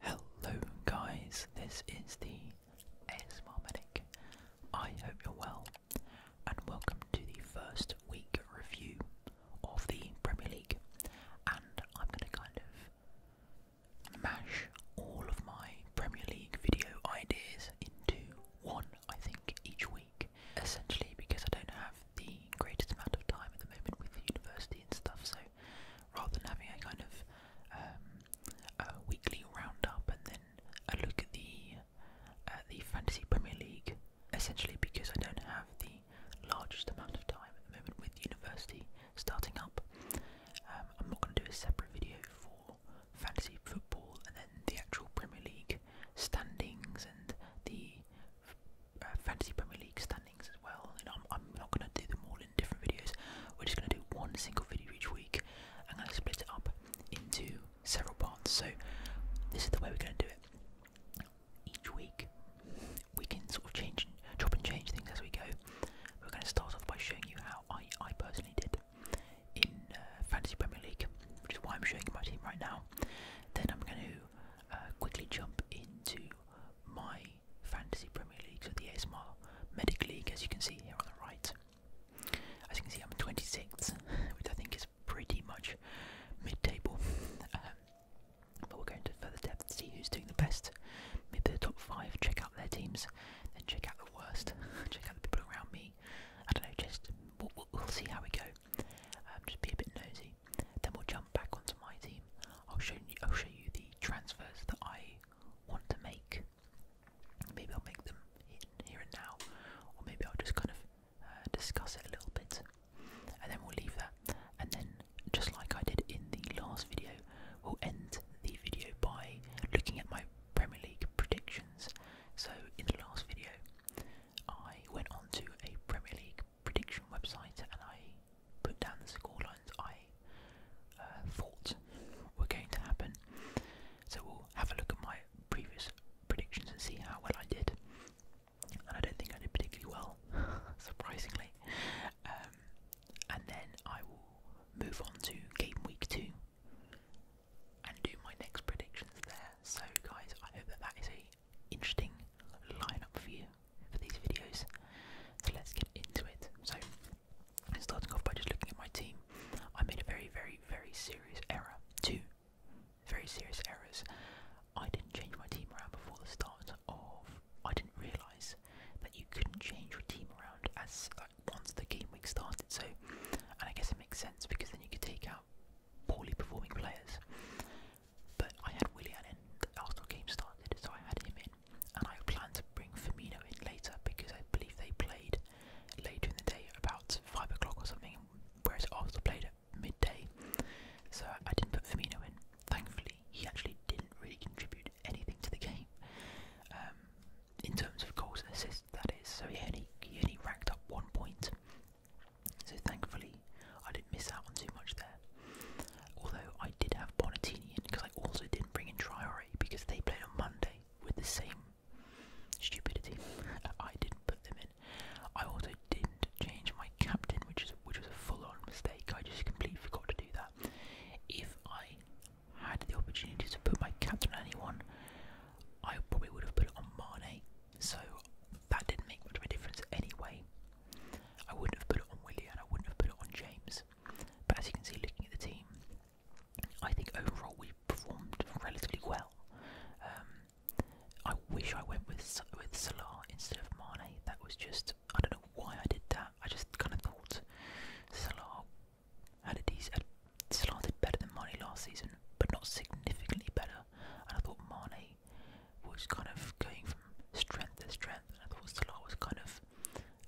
Hello guys, this is the ASMR Medic. I hope you're well and welcome to the first week review of the Premier League and I'm going to kind of mash all of my Premier League video ideas into one I think each week essentially because I don't have the greatest amount of time at the moment with the university and stuff so rather than having a kind of um, a weekly roundup and then a look at the uh, the Fantasy Premier League, essentially because I don't have the largest amount of time at the moment with university starting up. Um, I'm not going to do a separate video for fantasy football and then the actual Premier League standings and the uh, Fantasy Premier League standings as well. And I'm, I'm not going to do them all different videos. We're just going to do one single video each week. I'm going to split it up into several parts. So this is the way we're going to do it. Each week, we can sort of change, drop, and change things as we go. We're going to start off by showing you how I, I personally did in uh, Fantasy Premier League, which is why I'm showing my team right now. Then I'm going to uh, quickly jump into my Fantasy Premier League, so the ASMR Medic League, as you can see here on the right. As you can see, I'm 26th, which I think is pretty much mid-table. Um, but we'll go into further depth to see who's doing the best. Maybe the top five, check out their teams, then check out the worst, check out the people around me. I don't know, just we'll, see how we go. Um, just be a bit nosy. Then we'll jump back onto my team I'll show you. I'll show you the transfers that I want to make. Maybe I'll make them here and now, or maybe I'll just kind of uh, discuss it a little bit, and then we'll leave that. And then, just like I did in the last video, we'll end the video by looking at my Premier League predictions. So in the last video, I went on to a Premier League prediction website and I put down the scorelines I uh, thought were going to happen. So we'll have a look at my previous predictions and see how well I did. And I don't think I did particularly well, surprisingly. Um, and then I will move on to game week two and do my next predictions there. So, guys, I hope that that is a interesting lineup for you for these videos. So let's get into it. So, starting off by just looking at my team, I made a very, very, very serious error. Two very serious errors. I didn't change my team around before the start of. I didn't realise that you couldn't change your team around as once the game week started. So, and I guess it makes sense because then you could take out poorly performing players. But I had William in the Arsenal game started, so I had him in and I plan to bring Firmino in later because I believe they played later in the day, about five o'clock or something, whereas Arsenal played at midday. So I didn't put Firmino in. Thankfully, he actually didn't really contribute anything to the game um, in terms of goals and assists. That is, so he only he only racked up one point. So thankfully, I didn't miss out on too much there. Although I did have Bonatini because I also didn't bring in Triari because they played on Monday with the same stupidity. I didn't put them in. I also didn't change my captain, which is which was a full-on mistake. I just completely forgot to do that. If I had the opportunity to put my captain on anyone, I probably would have put it on Mane. So that didn't make much of a difference anyway. I wouldn't have put it on Willian, I wouldn't have put it on James. But as you can see, looking at the team, I think overall we performed relatively well. Um, I wish I went with with Salah instead of Mane. That was just I don't know why I did that. I just kind of thought Salah had a decent. Salah did better than Mane last season, but not significantly better. And I thought Mane was kind of going from strength to strength, and I thought Salah was kind of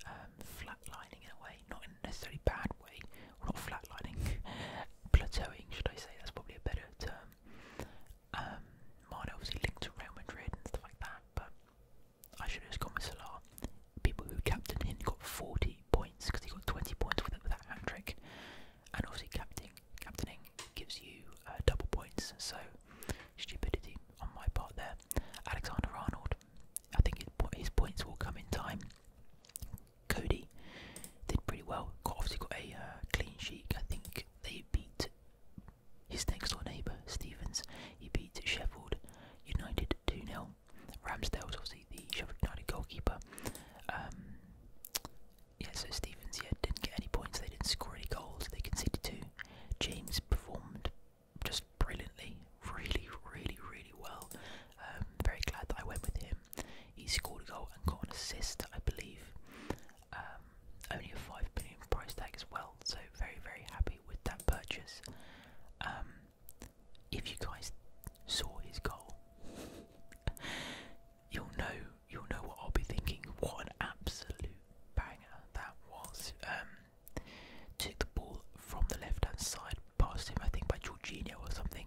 um, flatlining in a way, not necessarily bad way, not flatlining, plateauing, should I say? That's probably a better term. Um, mine obviously linked to Real Madrid and stuff like that, but I should have just gone with Salah. People who captain him got 40 points because he got 20 points with, with that hat trick, and obviously captaining, gives you uh, double points, so stupidity on my part there. Alexander Arnold, I think his points will come in time. Cody did pretty well. Got, obviously got a uh, clean sheet. I think they beat his next door neighbour Stevens. He beat Sheffield United two Ramsdale was obviously the Sheffield United goalkeeper. Um, yeah, so Stevens yeah didn't get any points. They didn't score any goals. They conceded two. James performed just brilliantly, really, really, really well. Um, very glad that I went with him. He scored a goal and got an assist, I believe. Um, only a five million price tag as well, so very, very happy with that purchase. Um, if you guys saw his goal, you'll know you'll know what I'll be thinking. What an absolute banger that was! took the ball from the left hand side, passed him, I think, by Jorginho or something,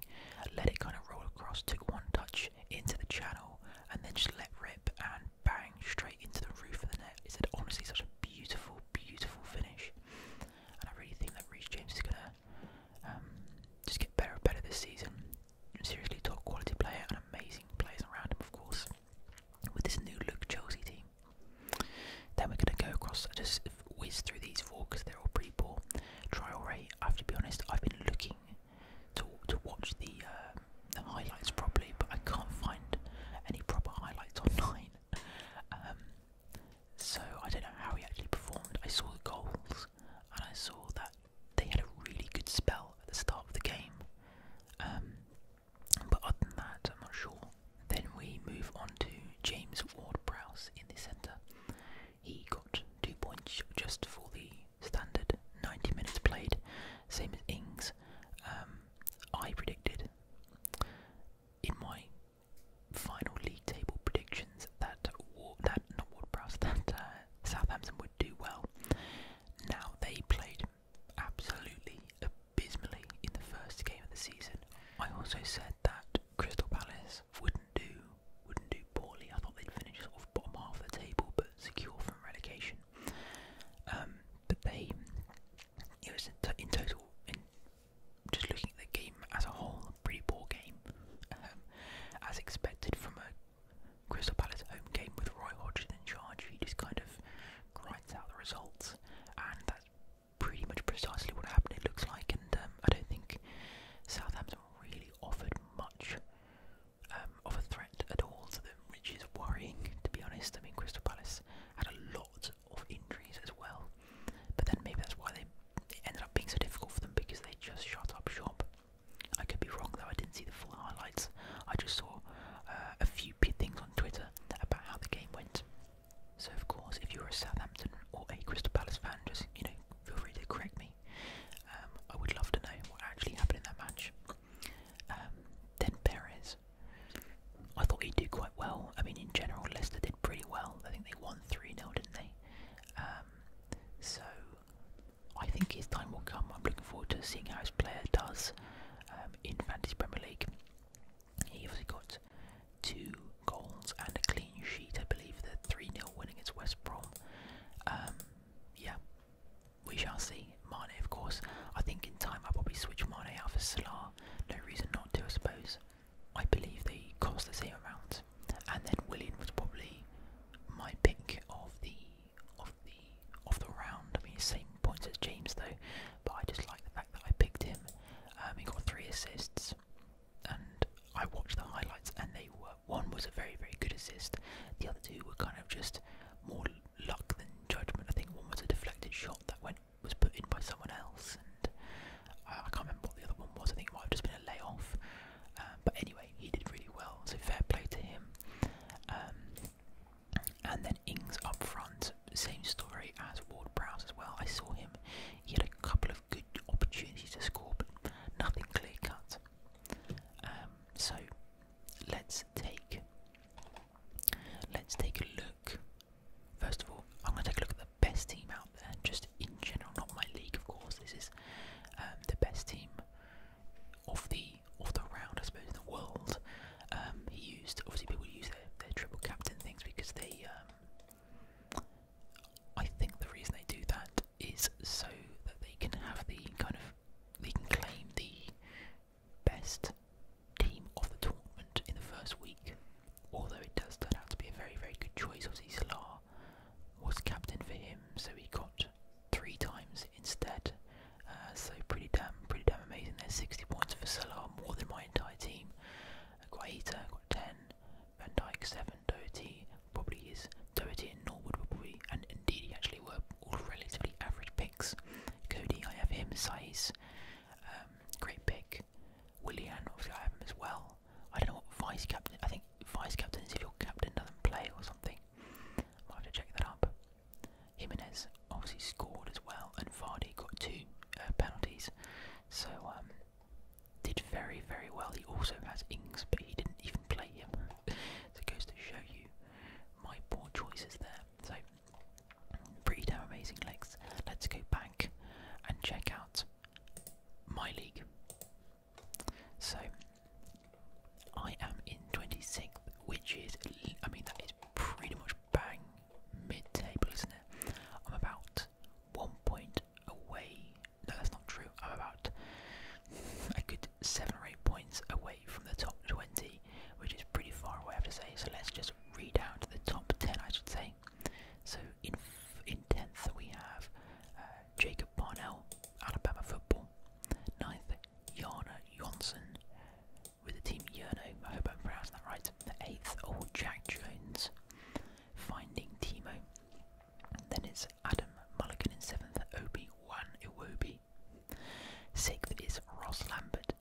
let it kind of roll across, took one touch into the channel, and then just let rip and bang straight into the roof of the net. It's honestly such a beautiful, beautiful finish, and I really think that Reece James is gonna um, just get better and better this season. Seriously, top quality player and amazing players around him, of course with this new look Chelsea team. Then we're going to go across, I just whiz through these four because they're all pretty poor. Trial rate, I have to be honest, I've been looking to, to watch the, um, the highlights properly, but I can't find any proper highlights online. Um, so I don't know how he actually performed. I saw the goals and I saw that they had a really good spell at the start of the game. Um, but other than that, I'm not sure. Then we move on to James Ward browse in the centre. He got two points just for the standard 90 minutes played, same as Ings. Um, I predicted in my final league table predictions that that not Ward Prowse, that uh, Southampton would do well. Now they played absolutely abysmally in the first game of the season. I also said that Crystal Palace wouldn't do wouldn't do poorly. I thought they'd finish sort of bottom half of the table, but secure from relegation. Um, but they, it was in, total, in just looking at the game as a whole, pretty poor game, um, as expected from a Crystal Palace home game with Roy Hodgson in charge. He just kind of finds out the results, and that's pretty much precisely what happened. It looks like, and um, I don't think Southampton really offered much um, of a threat at all to them, which is worrying, to be honest. I mean, Crystal Palace had a lot of injuries as well, but then maybe that's why they it ended up being so difficult for them because they just shut up shop. I could be wrong though. I didn't see the full highlights. I just saw uh, a few stupid things on Twitter about how the game went. So of course, if you're a Southampton or a Crystal Palace fan, just you know, feel free to correct me. Um, I would love to know what actually happened in that match. Um, then Perez, I thought he did quite well. I mean, in general, Leicester did pretty well. I think they won three 0 didn't they? Um, so I think his time will come. I'm looking forward to seeing how his player does. Um, in Fantasy Premier League. He obviously got two goals and a clean sheet, I believe, the 3 0 winning against West Brom. Um, yeah, we shall see. Mane, of course. I think in time I'll probably switch Mane out for Salah. No reason not to, I suppose. I believe they cost the same amount. And then William was probably my pick of the of the of the round. I mean, same points as James though, but I just like the fact that I picked him. Um, he got three assists, and I watched the highlights, and they were one was a very very good assist. The other two were kind of just more luck than judgment. I think one was a deflected shot that went was put in by someone else, and I, I can't remember what the other one was. I think it might have just been a layoff. Um, but anyway, he did really well, so fair play to him. Um, and then Ings up front, same story as Ward Brown as well. I saw him, he had a couple of good opportunities to score, but nothing clear cut. Um, so let's take let's take a look. First of all, I'm going to take a look at the best team out there, just in general, not my league, of course. This is um, the best team of the all the round, I suppose, in the world. Um, he used obviously people use their, triple captain things because they. Um, I think the reason they do that is so that they can have the kind of they can claim the best team of the tournament in the first week. Although it does turn out to be a very very good choice. Obviously, Salah was captain for him, so he got three times instead. Uh, so pretty damn, pretty damn amazing. There's 60 points for Salah, more than my entire team. Guaita got 10, Van Dijk 7, Doherty probably is Doherty and Norwood were probably, and indeed he actually were all relatively average picks. Cody, I have him, size, um, great pick. Willian, obviously I have him as well. I don't know what vice captain. I think vice captain is if your captain doesn't play or something. Might have to check that up. Jimenez obviously scored as well, and Vardy got two uh, penalties. So um, did very very well. He also has Ings, but he didn't even play him. so it goes to show you my poor choices there. So pretty damn amazing legs. Let's go back and check out my league. So I am in 26th, which is I mean that is pretty much bang mid-table, isn't it? I'm about one point away. No, that's not true. I'm about a good seven or eight points away from the top 20, which is pretty far away, I have to say. So let's just read out the top 10, I should say. So in in 10th, we have uh, Jacob Barnell, Alabama football. Ninth, Jana Johnson, with the team Yurno, I hope I'm pronouncing that right, the eighth, old oh, Jack Jones finding Timo. Then it's Adam Mulligan in seventh, Obi Wan Iwobi. Sixth is Ross Lambert,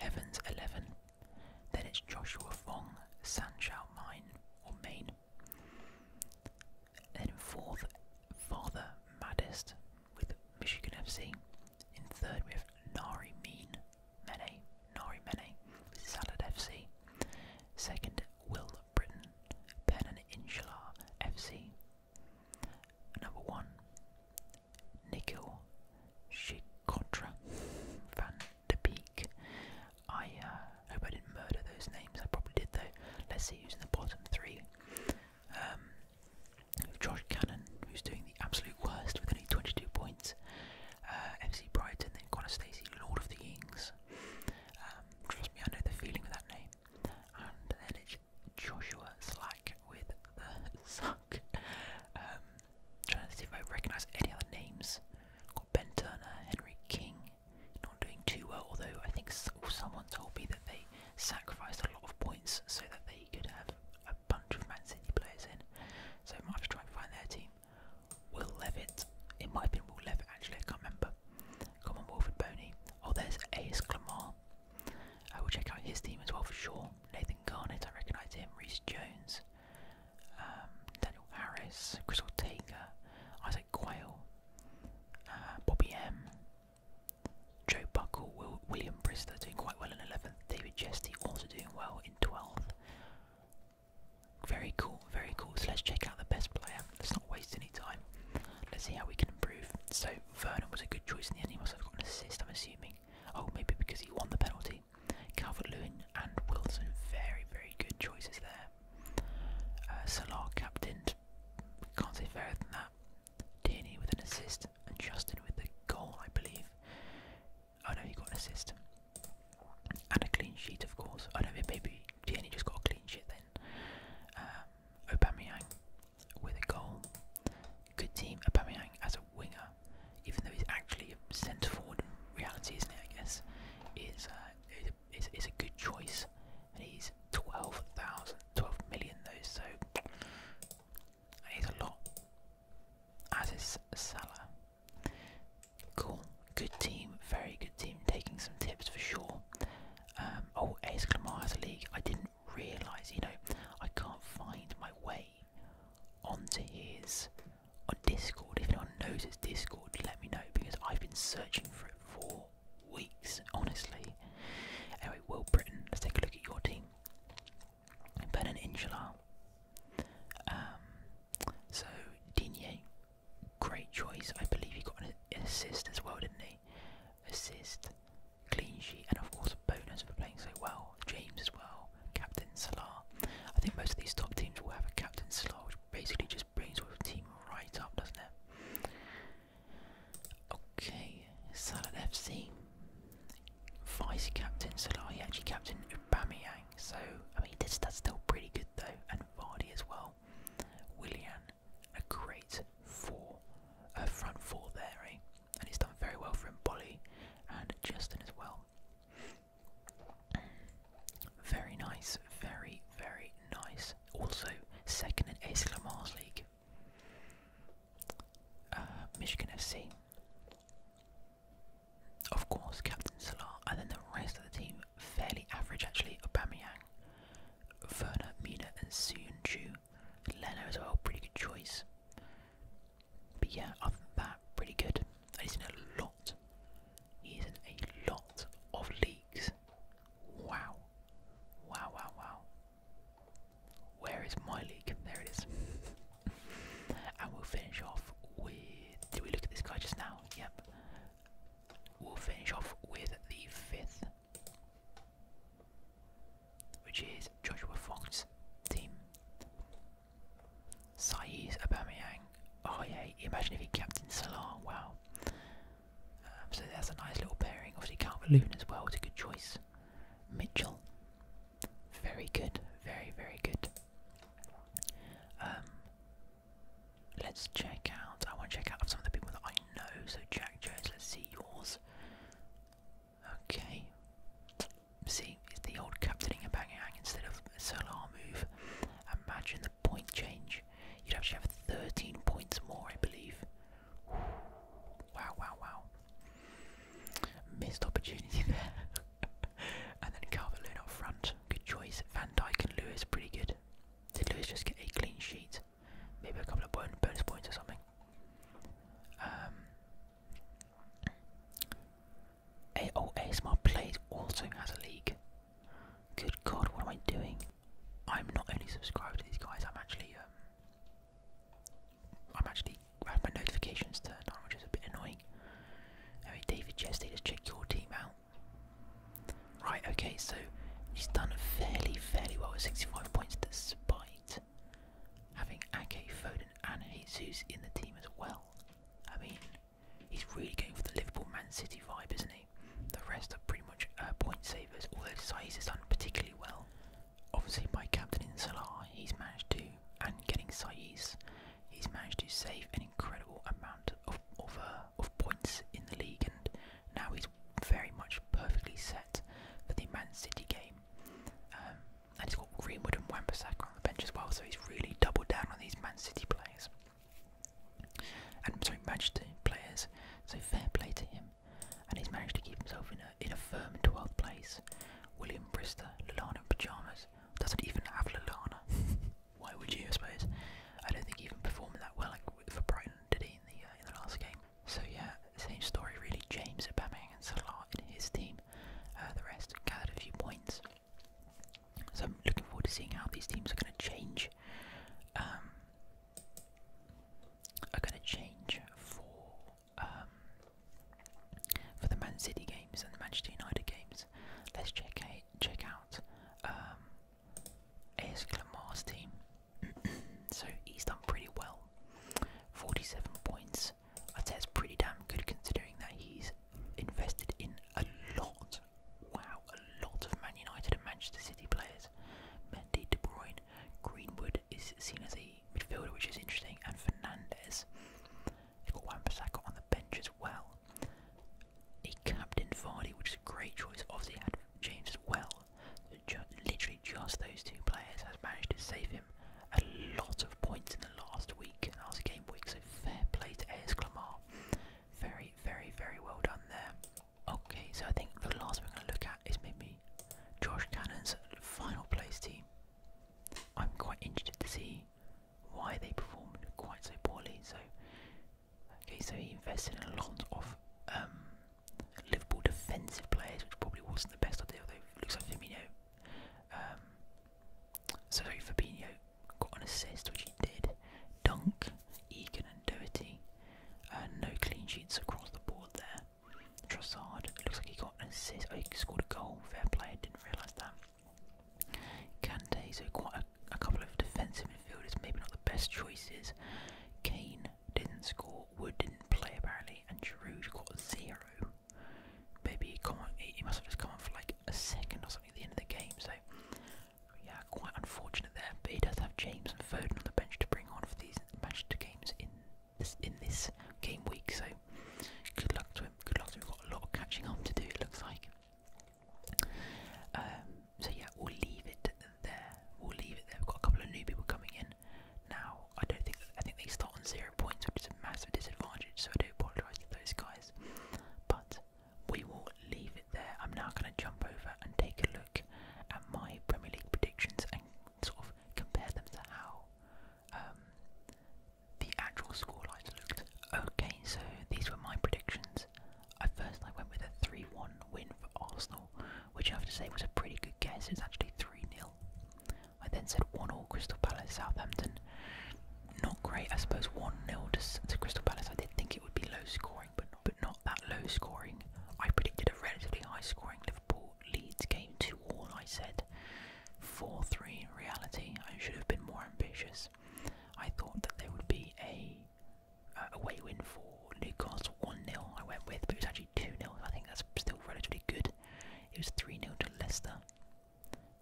Evans eleven. Then it's Joshua Fong, Sanchao Mine or Maine. Then fourth, Father Maddest with Michigan FC. In third, we have Nari Mean Mene, Nari Mene, Salad FC. Second, Will of Britain, Pen and Insular FC. Number one, Nikhil Shikotra Van de Peak. I uh, hope I didn't murder those names. I probably did though. Let's see who's in the bottom three. Um, Josh Cannon, who's doing the absolute worst with only 22 points. Uh, FC Brighton, then Connor Stacey, Lord of the Ings. Um, trust me, I know the feeling of that name. And then it's Joshua Slack with the suck. Um, trying to see if I recognise any other names. Got Ben Turner, Henry King, not doing too well, although I think someone told me that they sacrificed a lot of points so that they he could have a bunch of Man City players in. So I might to try and find their team. Will Levitt. It might have been Will Levitt actually, I can't remember. Come on, Wilfred Boney. Oh, there's A.S. Clamart. I will check out his team as well for sure. Nathan Garnett, I recognise him. Reese Jones, um, Daniel Harris, Crystal Ortega, Isaac Quayle, uh, Bobby M. Joe Buckle, William Brister doing quite well in 11th, David Jesty also doing well in 12th. Very cool, very cool. So let's check out the best player. Let's not waste any time. Let's see how we can improve. So Vernon was a good choice in the end. He must have got an assist, I'm assuming. Oh, maybe because he won the penalty. Calvert Lewin and Wilson, very, very good choices there. Uh, Salah captained. Can't say fairer than that. Tierney with an assist, and Justin with the goal, I believe. Oh no, he got an assist. And a clean sheet, of course. I do Oh no, maybe Tierney just got a clean sheet then. Um, Aubameyang with a goal. Good team, Aubameyang as a winger, even though he's actually a centre forward in reality, isn't it? I guess uh, is is is a good choice, and he's 12,000, 12 million though, so that is a lot. As is Salah. Cool. Good team. Very good team. Taking some tips for sure. Um, oh, Ace Clamar has a league. I didn't realise, you know, I can't find my way onto his on Discord. If anyone knows his Discord, let me know because I've been searching for it for weeks, honestly. Anyway, Will Britain, let's take a look at your team. Benin Insular. Um, so Digne, great choice. I believe he got an assist as well, didn't he? Assist, clean sheet, and of course a bonus for playing so well. James as well, Captain Salah. I think most of these top teams will have a Captain Salah, which basically just brings the team right up, doesn't it? Okay, Salad FC. Vice captain Salah, he actually captain Aubameyang, so I mean that's still pretty good though, and Vardy as well. Willian, a great four, a front four there, eh? And he's done very well from Bolly and Justin as well. Very nice, very very nice. Also second in Ace Lamar's league. Uh, Michigan FC. Of course, Captain Salah, and then the rest of the team fairly average actually. Aubameyang, Werner, Mina, and Soon Leno as well, pretty good choice. But yeah, other than that, pretty good. And he's in a lot. He's in a lot of leagues. Wow. Wow, wow, wow. Where is my league? There it is. and we'll finish off with. Did we look at this guy just now? Yep. We'll finish off with the fifth, which is Joshua Fox, team. Saiz Aubameyang. Oh yeah, imagine if he captain Salah. Wow. Um, so that's a nice little pairing. Obviously Calvert-Lewin as well is a good choice. Mitchell. Very good, very, very good. Um, let's check out. I want to check out some of the people that I know. So Jack Jones, let's see yours. Okay. See, it's the old captaining and banging hang instead of a Solar move. Imagine the point change. You'd actually have 13 points more, I believe. Wow, wow, wow. Missed opportunity there. and then Calvert Lewin front. Good choice. Van Dyke and Lewis, pretty good. Did Lewis just get a clean sheet? Maybe a couple of bonus points or something. Um, a oh, ASMR Plays also has a league. Good God, what am I doing? I'm not only subscribed to these guys, I'm actually um, I'm actually I my notifications turned on, which is a bit annoying. Anyway, David Chesty, just check your team out. Right, okay, so he's done fairly, fairly well with 65 points despite having Ake, Foden, and Jesus in the team as well. I mean, he's really going for the Liverpool Man City vibe, isn't he? The rest are pretty much uh, point savers, although Saiz has done particularly well obviously by captaining Salah, he's managed to, and getting Saiz, he's managed to save an incredible amount of uh, of, points in the league, and now he's very much perfectly set for the Man City game. Um, and he's got Greenwood and Wan-Bissaka on the bench as well, so he's really doubled down on these Man City players. And sorry, Manchester players. So fair play to him and he's managed to keep himself in a, firm 12th place. William Brister, Lilana in pyjamas, doesn't even have Lilana. Why would you, I suppose? I don't think he even performed that well like, for Brighton, did he, uh, in the, last game? So yeah, same story really, James Aubameyang and Salah in his team. Uh, the rest gathered a few points. So I'm looking forward to seeing how these teams are going to change. Um, are going to change for um, for the Man City games and the Manchester United games, let's check a, check out um, AS Clamar's team. so he's done pretty well, 47 points. I'd say it's pretty damn good considering that he's invested in a lot. Wow, a lot of Man United and Manchester City players. Mendy, De Bruyne, Greenwood is seen as a midfielder, which is interesting, and Fernandez. they got Wan Bissaka on the bench as well. He captained Vardy, which is a great choice. Obviously, had James as well. literally just those two players has managed to save him a lot of points in the last week, last game week. So fair play to AS Very, very, very well done there. Okay, so I think the last we're going to look at is maybe Josh Cannon's final place team. I'm quite interested to see why they performed quite so poorly. So, okay, so he invested in a lot of um, Liverpool defensive players, which probably wasn't the best idea. Although it looks like Firmino, um, sorry, Fabinho got an assist, which he did. Dunk, Egan, and Doherty. Uh, no clean sheets across the board there. Trossard looks like he got an assist. Oh, he scored a goal. Fair play, didn't realise that. Kante, so quite a couple of defensive midfielders, maybe not the best choices. Kane didn't score, Wood didn't play apparently, and Giroud got zero. Maybe he, come on, he must have just come on for like a second or something at the end of the game, so yeah, quite unfortunate there. But he does have James and Foden on the bench to bring on for these Manchester games in in this game week. So good luck to him. Good luck to him. We've got a lot of catching up to do. It looks like. Um, so yeah, we'll leave it there. We'll leave it there. We've got a couple of new people coming in now. I don't think I think they start on zero points, which is a massive disadvantage. So I do apologise to those guys. But we will leave it there. I'm now going to jump over and take a look at my Premier League predictions sort of compare them to how um, the actual scorelines looked. Okay, so these were my predictions. At first, I went with a 3 1 win for Arsenal, which I have to say was a pretty good guess. It was actually 3 0. I then said 1 0 Crystal Palace Southampton. Not great, I suppose 1 0 to, Crystal Palace. I did think it would be low scoring, but not, but not that low scoring. I predicted a relatively high scoring Liverpool Leeds game 2 one. I said 4 3 in reality. I should have been more ambitious. I thought that there would be a uh, away win for Newcastle 1 0, I went with, but it was actually 2 0. I think that's still relatively good. It was 3 0 to Leicester.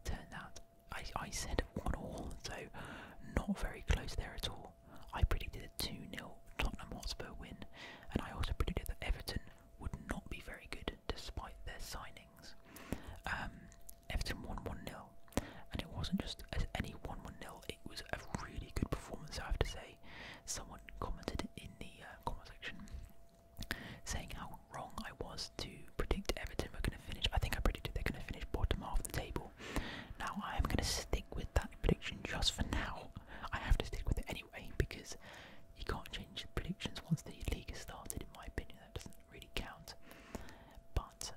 Turned out, I, I said 1 all, so not very close there at all. I predicted a 2 0 Tottenham Hotspur win, and I also predicted that Everton would not be very good despite their signings. Um, Everton won 1 0, and it wasn't just any 1 1 0, it was a really good performance, I have to say. Someone commented in the uh, comment section saying how wrong I was to predict Everton were going to finish. I think I predicted they're going to finish bottom half of the table. Now I am going to stick with that prediction just for now. I have to stick with it anyway because you can't change predictions once the league has started. In my opinion, that doesn't really count. But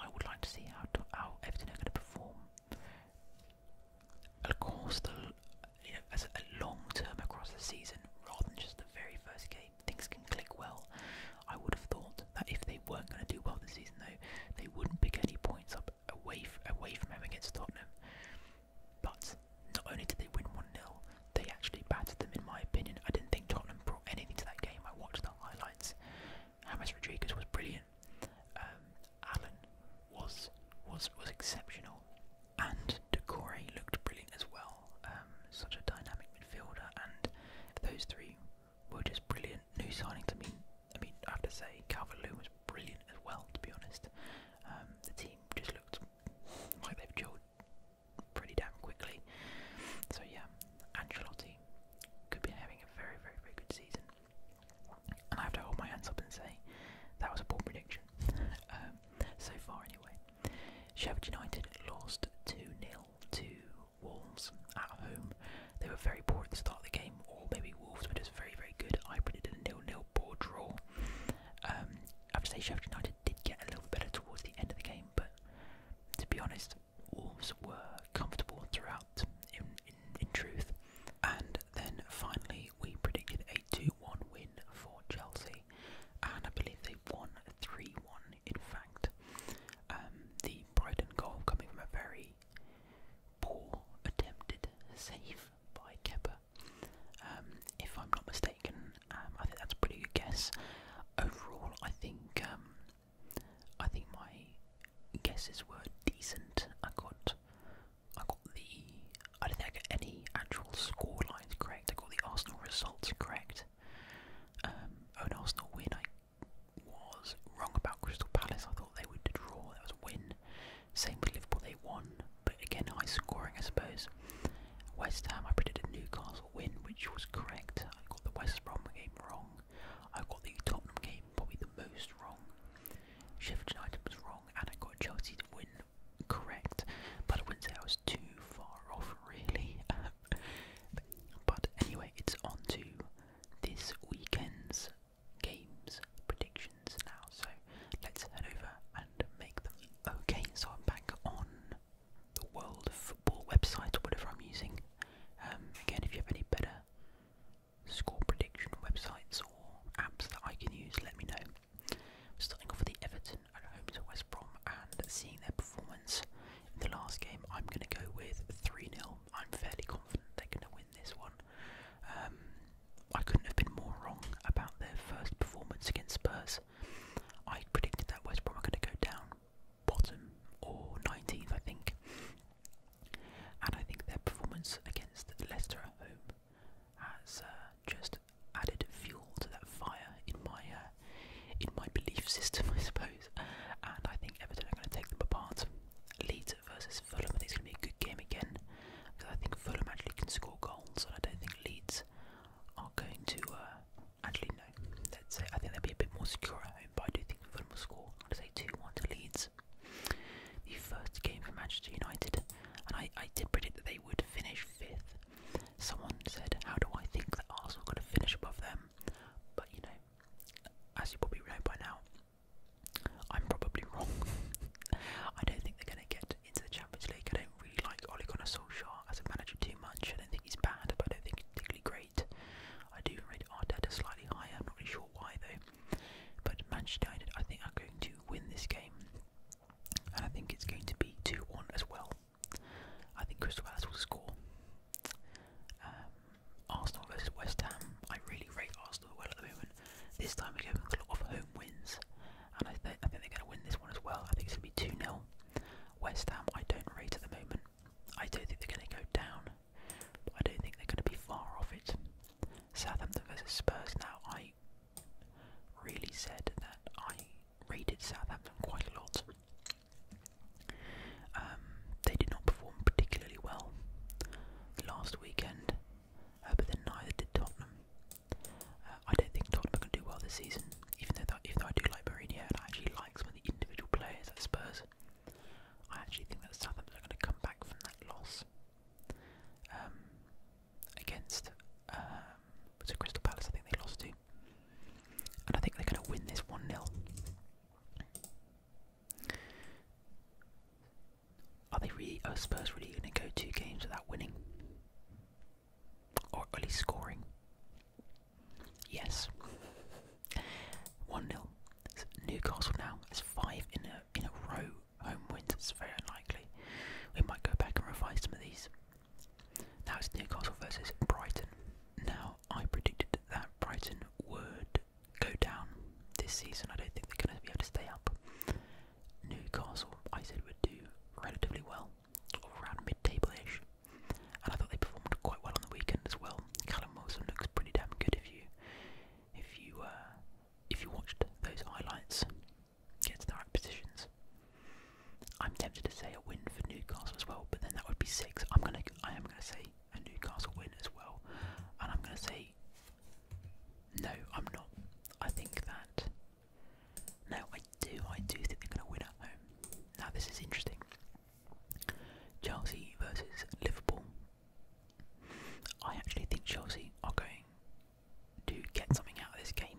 I would like to see how to, how Everton are going to perform. Of course, the as a long term across the season, rather than just the very first game, things can click well. I would have thought that if they weren't going to do well this season, though, they wouldn't pick any points up away away from them against Tottenham. But not only did they win 1 0, they actually battered them, in my opinion. I didn't think Tottenham brought anything to that game. I watched the highlights. James Rodriguez was brilliant. Um, Allen was was was exceptional, and De Decore looked brilliant as well. Um, such a dynamic midfielder, and those three were just brilliant new signings. I mean, I mean, I have to say, Calvert-Lewin was brilliant as well. To be honest, um, the team just looked like they've chilled pretty damn quickly. So yeah, Ancelotti could be having a very, very, very good season. And I have to hold my hands up and say that was a poor prediction. Um, so far, anyway. Sheffield United lost 2 0 to Wolves at home. They were very poor in the start of the game or maybe Wolves were just very, very good. I predicted a nil-nil draw. I have to say Sheffield United did get a little bit better towards the end of the game, but to be honest, Wolves were comfortable throughout. In, in, truth, and then finally we predicted a 2-1 win for Chelsea, and I believe they won 3-1. In fact, um, the Brighton goal coming from a very poor attempted save by Kepper. Um, if I'm not mistaken. Um, I think that's a pretty good guess. Overall, I think um, I think my guesses were decent. I got I got the I don't think I got any actual score lines correct. I got the Arsenal results correct. Um, oh, an Arsenal win. I was wrong about Crystal Palace. I thought they would draw. That was a win. Same with Liverpool, they won, but again, high scoring, I suppose. West Ham, I predicted Newcastle win, which was correct. I got the West Brom game wrong. I got the Tottenham game probably the most wrong. Sheffield United was wrong, and I got Chelsea to win correct, but I wouldn't say I was too far off, really. but anyway, it's on to this weekend's games predictions now, so let's head over and make them. Okay, so I'm back on the World Football website or whatever I'm using. Um, again, if you have any better score prediction websites or apps that I can use, let me know. starting off with the Everton at home to West Brom and seeing their performance in the last game, I'm going to go with 3 0. I'm fairly confident they're going to win this one. Um, I couldn't have been more wrong about their first performance against Spurs. I predicted that West Brom were going to go down bottom or 19th, I think. And I think their performance against Leicester at home has uh, just added fuel to that fire in my uh, in my belief system, I suppose. And I think Everton are going to take them apart. Leeds versus Fulham. I think it's going to be a good game again because I think Fulham actually can score goals, and I don't think Leeds are going to. Uh, actually, no. Let's say I think they would be a bit more secure at home, but I do think Fulham will score. i would say two-one to Leeds. The first game for Manchester United, and I, I did predict that they would finish fifth. Someone said, "How do I think that Arsenal are going to finish above them?" But you know, as you probably know by now, I'm probably wrong. I don't think they're going to get into the Champions League. I don't really like Ole Gunnar Solskjaer as a manager too much. I don't think he's bad, but I don't think he's particularly great. I do rate Arteta slightly higher. I'm not really sure why though. But Manchester United, I think, are going to win this game, and I think it's going to be two-one as well. I think Crystal Palace will score. Um, Arsenal versus West Ham. I really rate Arsenal well at the moment. This time we're going to get a lot of home wins, and I, th I think they're going to win this one as well. I think it's going to be 2 0. West Ham, I don't rate at the moment. I don't think they're going to go down, but I don't think they're going to be far off it. Southampton versus Spurs. Now, I really said that I rated Southampton quite a lot. Um, they did not perform particularly well last weekend. Uh, but then neither did Tottenham. Uh, I don't think Tottenham are going to do well this season, even though even though I do like Mourinho and I actually like some of the individual players at Spurs. I actually think that Southampton are going to come back from that loss um, against um, Crystal Palace. I think they lost to, and I think they're going to win this one 0 are they really? Are Spurs really going to go two games without winning, or at least scoring? Yes. One 0 Newcastle now is five in a in a row home wins. It's very unlikely. We might go back and revise some of these. Now it's Newcastle versus Brighton. Now I predicted that Brighton would go down this season. I don't think they're going to be able to stay up. Newcastle, I said, would do relatively well, around mid-table-ish, and I thought they performed quite well on the weekend as well. Callum Wilson looks pretty damn good if you, if you, uh, if you watched those highlights, gets the right positions. I'm tempted to say a win for Newcastle as well, but then that would be six. I'm gonna, I am gonna say a Newcastle win as well, and I'm gonna say no, I'm not. I think that. No, I do. I do think they're going to win at home. Now, this is interesting. Chelsea versus Liverpool. I actually think Chelsea are going to get something out of this game.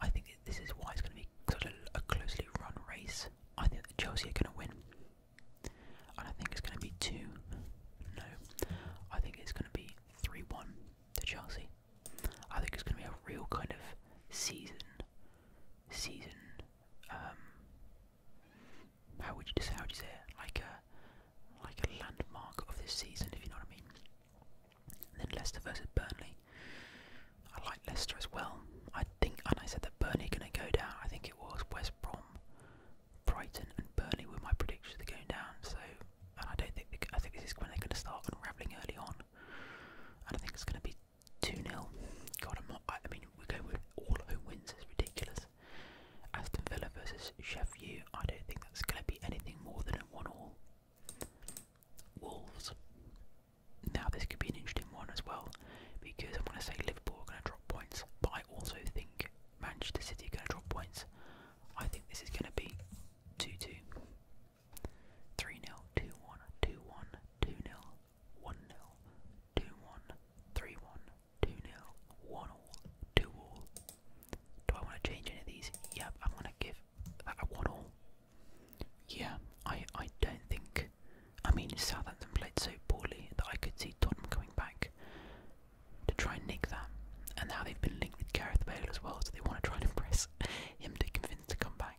I think this is why it's going to be a, a closely run race. I think that Chelsea are going to win. I don't think it's going to be 2. No. I think it's going to be 3 1 to Chelsea. I think it's going to be a real kind of season. Season. Um, how would you just how would you say it? Like a like a landmark of this season, if you know what I mean. then Leicester versus Burnley. I like Leicester as well. I think, and I said that Burnley going to go down. I think it was West Brom Brighton and Burnley were my predictions are going down. So, and I don't think they, I think this is when they're going to start unraveling early on, and I think it's going to be two 0 God, I'm not. I, I mean, we go with all home wins. It's ridiculous. Aston Villa versus Sheffield. I don't think that's going to be anything more than a one all. Wolves. Now this could be an interesting one as well because I'm going to say Liverpool are going to drop points, but I also think Manchester City are going to drop points. I think this is going to be 2 2, 3 0, 2 1, 2 1, 2 0, 1 0, 2 1, 3 1, 2 0, 1 all, 2 all. Do I want to change any of these? Yep, I'm going to give a, a 1 all. Yeah, I, I don't think. I mean, Southampton played so poorly that I could see Tottenham coming back to try and nick that. And now they've been linked with Gareth Bale as well, so they want to try and impress him to convince to come back.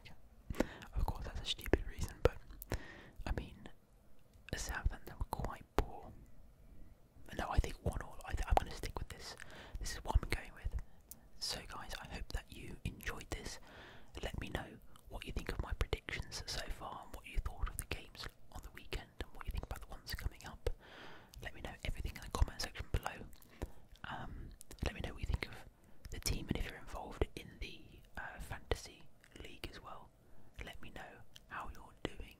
Of course, that's a stupid reason, but I mean, Southampton were quite poor. No, I think one all. I th I'm going to stick with this. This is what I'm going with. So, guys, I hope that you enjoyed this. Let me know what you think of my predictions so far and what you thought of the games on the weekend and what you think about the ones coming up. Let me know everything in the comment section below. Um, let me know what you think of the team and if you're involved in the uh, fantasy league as well. Let me know how you're doing.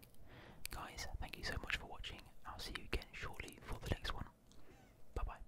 Guys, thank you so much for watching. I'll see you again shortly for the next one. Bye bye.